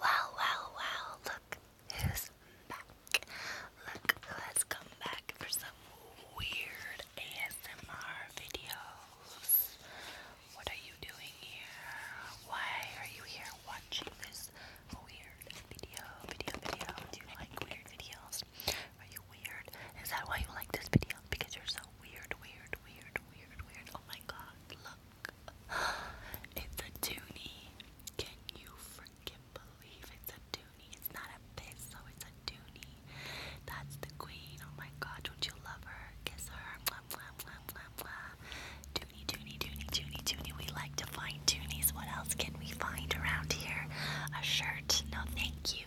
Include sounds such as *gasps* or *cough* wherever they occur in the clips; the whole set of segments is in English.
Wow, wow, wow, look who's back. Look who has come back for some weird ASMR videos. What are you doing here? Why are you here watching this weird video? Video, video. Do you like weird videos? Are you weird? Is that why you like this video? Because you're so weird, weird, weird, weird, weird. Oh my god, look. *gasps* It's a toonie. Can you freaking believe it's a toonie? It's not a pizzo, it's a toonie. That's the queen. Oh my god, don't you love her? Kiss her. Mwah, mwah, mwah, mwah, mwah. We like to find toonies. What else can we find around here? A shirt. No, thank you.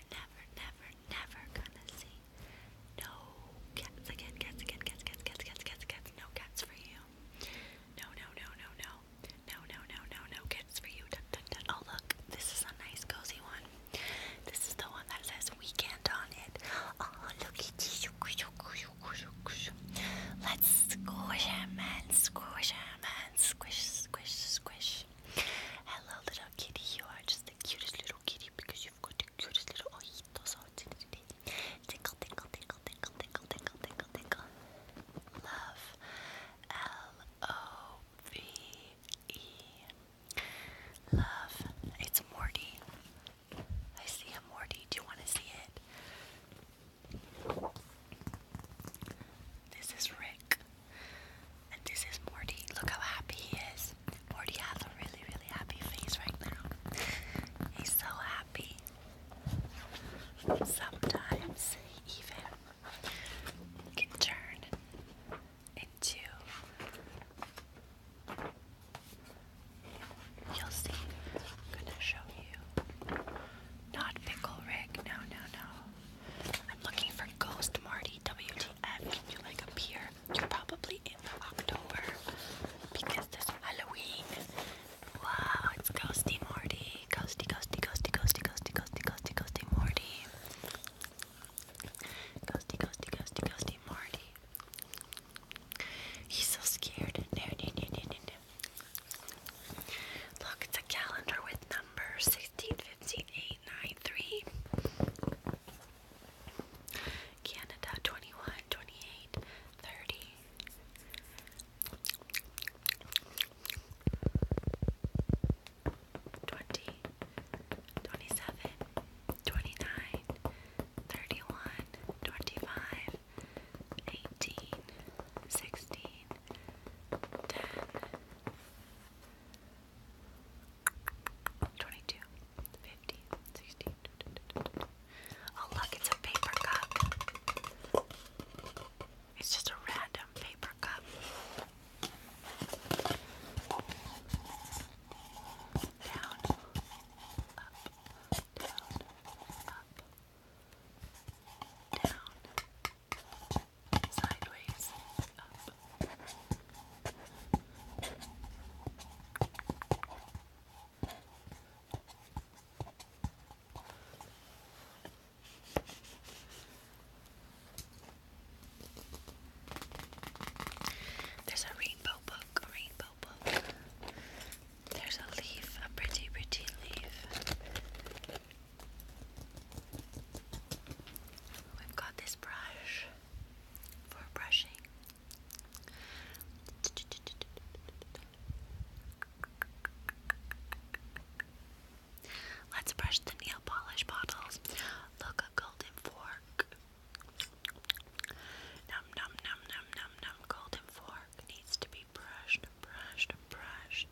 never, never, never, gonna see. No cats again, cats again, cats, cats, cats, cats, cats, no cats for you. No, no, no, no, no. No, no, no, no, no cats for you. Dun, dun, dun. Oh, look, this is a nice cozy one. This is the one that says weekend on it. Oh, look Let's squish him and squish him and squish, squish, squish. Hello, little kitty. You are just the cutest little kitty because you've got the cutest little Oh, tinkle, tinkle, Love. L O V E. Love. It's Morty. I see a Morty. Do you want to see it? This is Rick. And this is Morty. Look how happy he is. Morty has a really, really happy face right now. He's so happy. Sometimes even can turn into. You'll see. I'm gonna show you. Not Pickle Rick. No, no, no. I'm looking for Ghost Marty WTF. Can you like appear? You're probably in October because this Halloween. Wow, it's Ghosty Marty. Ghosty, Ghosty, Ghosty, Ghosty, Ghosty, Ghosty, Ghosty, Ghosty Marty. Ghosty, Ghosty, Ghosty, Ghosty Marty. He's so scared. No, no, no, no, no, no. Look, it's a calendar with numbers 16, 15, 8, 9, 3. Canada 21, 28, 30. Twenty, twenty-seven, twenty-nine, thirty-one, twenty-five, eighteen, sixteen, 10, Oh, look, it's a paper cup. It's just a random paper cup. Down, up, down, up, there's a rainbow book, a rainbow book there's a leaf, a pretty, pretty leaf. We've got this brush for brushing. Let's brush the nail polish bottles. Look, a golden fork. Num, num, num, num, num, num. Golden fork needs to be brushed brushed brushed.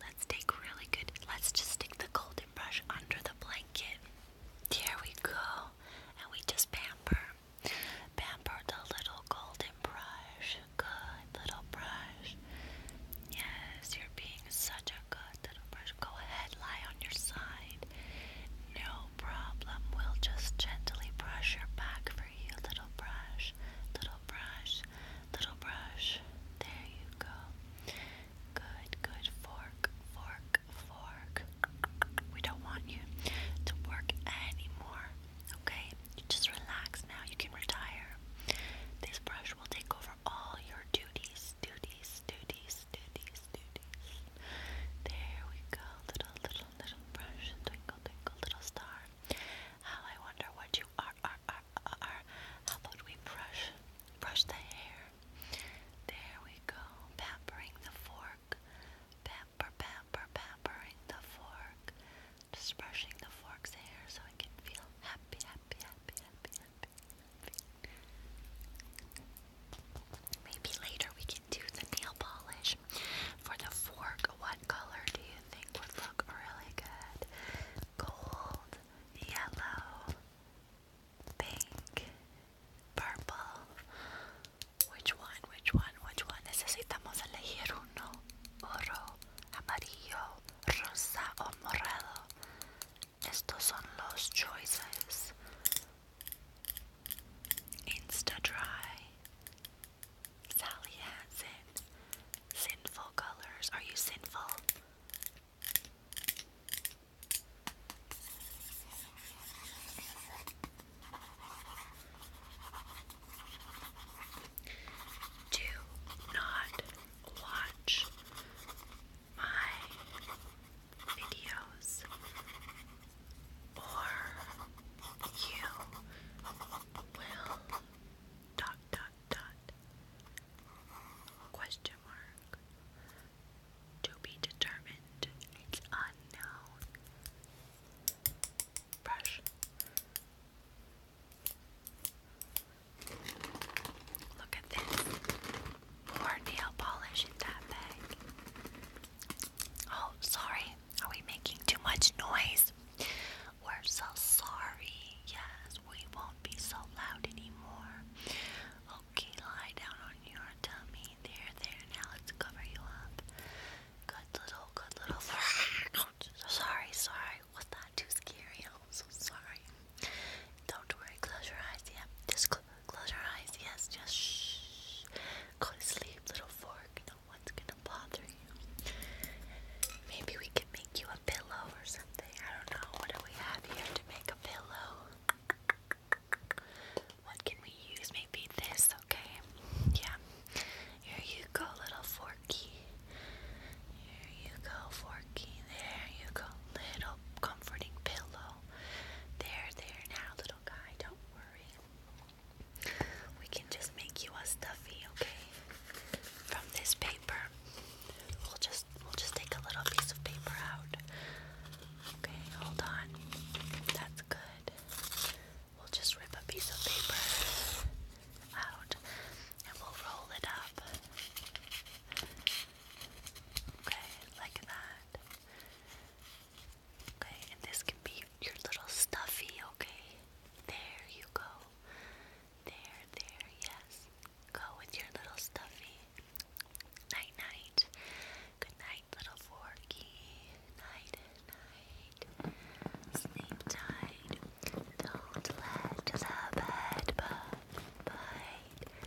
Let's take really good, let's just stick the golden brush under the blanket. There we go. And we just pamper. Pamper the little golden brush. Good little brush. Yes, you're being such a good little brush. Go ahead, lie on your side. No problem. We'll just gently brush your back Little brush, little brush, little brush. There you go. Good, good. Fork, fork, fork. We don't want you to work anymore. Okay? just relax now. You can retire. This brush will take over all your duties, duties, duties, duties, duties. There we go. Little, little, little brush. Twinkle, twinkle, little star. How I wonder what you are, are, are, are. How about we brush, brush the hair? There we go. Pampering the fork. Pamper, pamper, pampering the fork. Just brushing the fork's hair so it can feel happy, happy, happy, happy. happy. Maybe later we to the nail polish for the fork. What color do you think would look really good? Gold, yellow, pink, purple. Which one? Which one? Which one? Necesitamos elegir uno. Oro, amarillo, rosa o morado. Estos son los choices. Insta dry, Sally has Sinful colors. Are you sinful? Do not watch my videos or you will dot dot dot question mark to be determined it's unknown brush Look at this. More nail polish in that bag. Oh, sorry. Are we making too much noise? We're so sorry. Yes, we won't be so loud anymore. Okay, lie down on your tummy. There, there. Now let's cover you up. Good little, good little. *laughs* sorry, sorry. Was that too scary? I'm so sorry. Don't worry. Close your eyes. Yeah, just close. Close your eyes. Yes, just shh. Go to sleep, little fork. No one's gonna bother you. Maybe we can make you a pillow or something. I don't know. What do we have here to make a pillow? What can we use? Maybe this, okay? Yeah. Here you go, little forky. Here you go, forky. There you go, little comforting pillow. There, there, now, little guy, don't worry. We can just make you a stuffy, okay? From this paper. We'll just we'll just take a little piece of paper out. Okay, hold on. That's good. We'll just rip a piece of paper out and we'll roll it up. Okay, like that. Okay, and this can be your little stuffy, okay? There you go. There, there, yes. Go with your little stuffy. Night, night. Good night, little forky. Night, night. Sleep tight. Don't let the bed bite. Bite.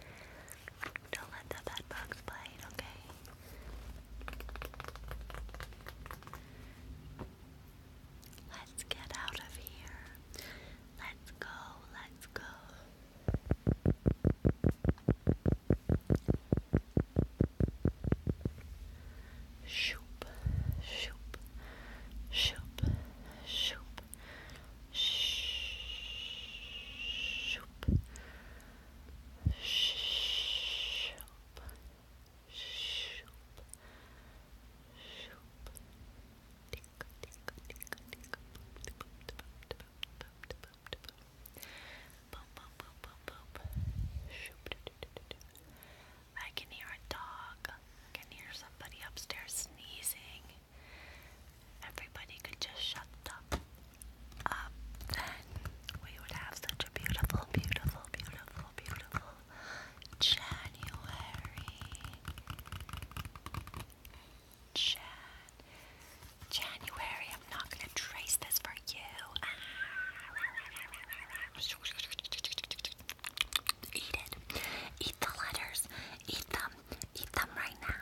Don't let the bed bugs bite, okay? Let's get out of here. Let's go, let's go. Shoop, shoop, shoop, shoop, shoop, shoop, Shoop. Shoop. Shoop. Tick, tick, tick, tick. Boom, boom, boom, boom, boom. Shoop. Do, do, do, do. I can hear a dog. I can hear somebody upstairs sneezing everybody could just shut up, up, then we would have such a beautiful, beautiful, beautiful, beautiful January. Jan. January, I'm not gonna trace this for you. Eat it. Eat the letters. Eat them. Eat them right now.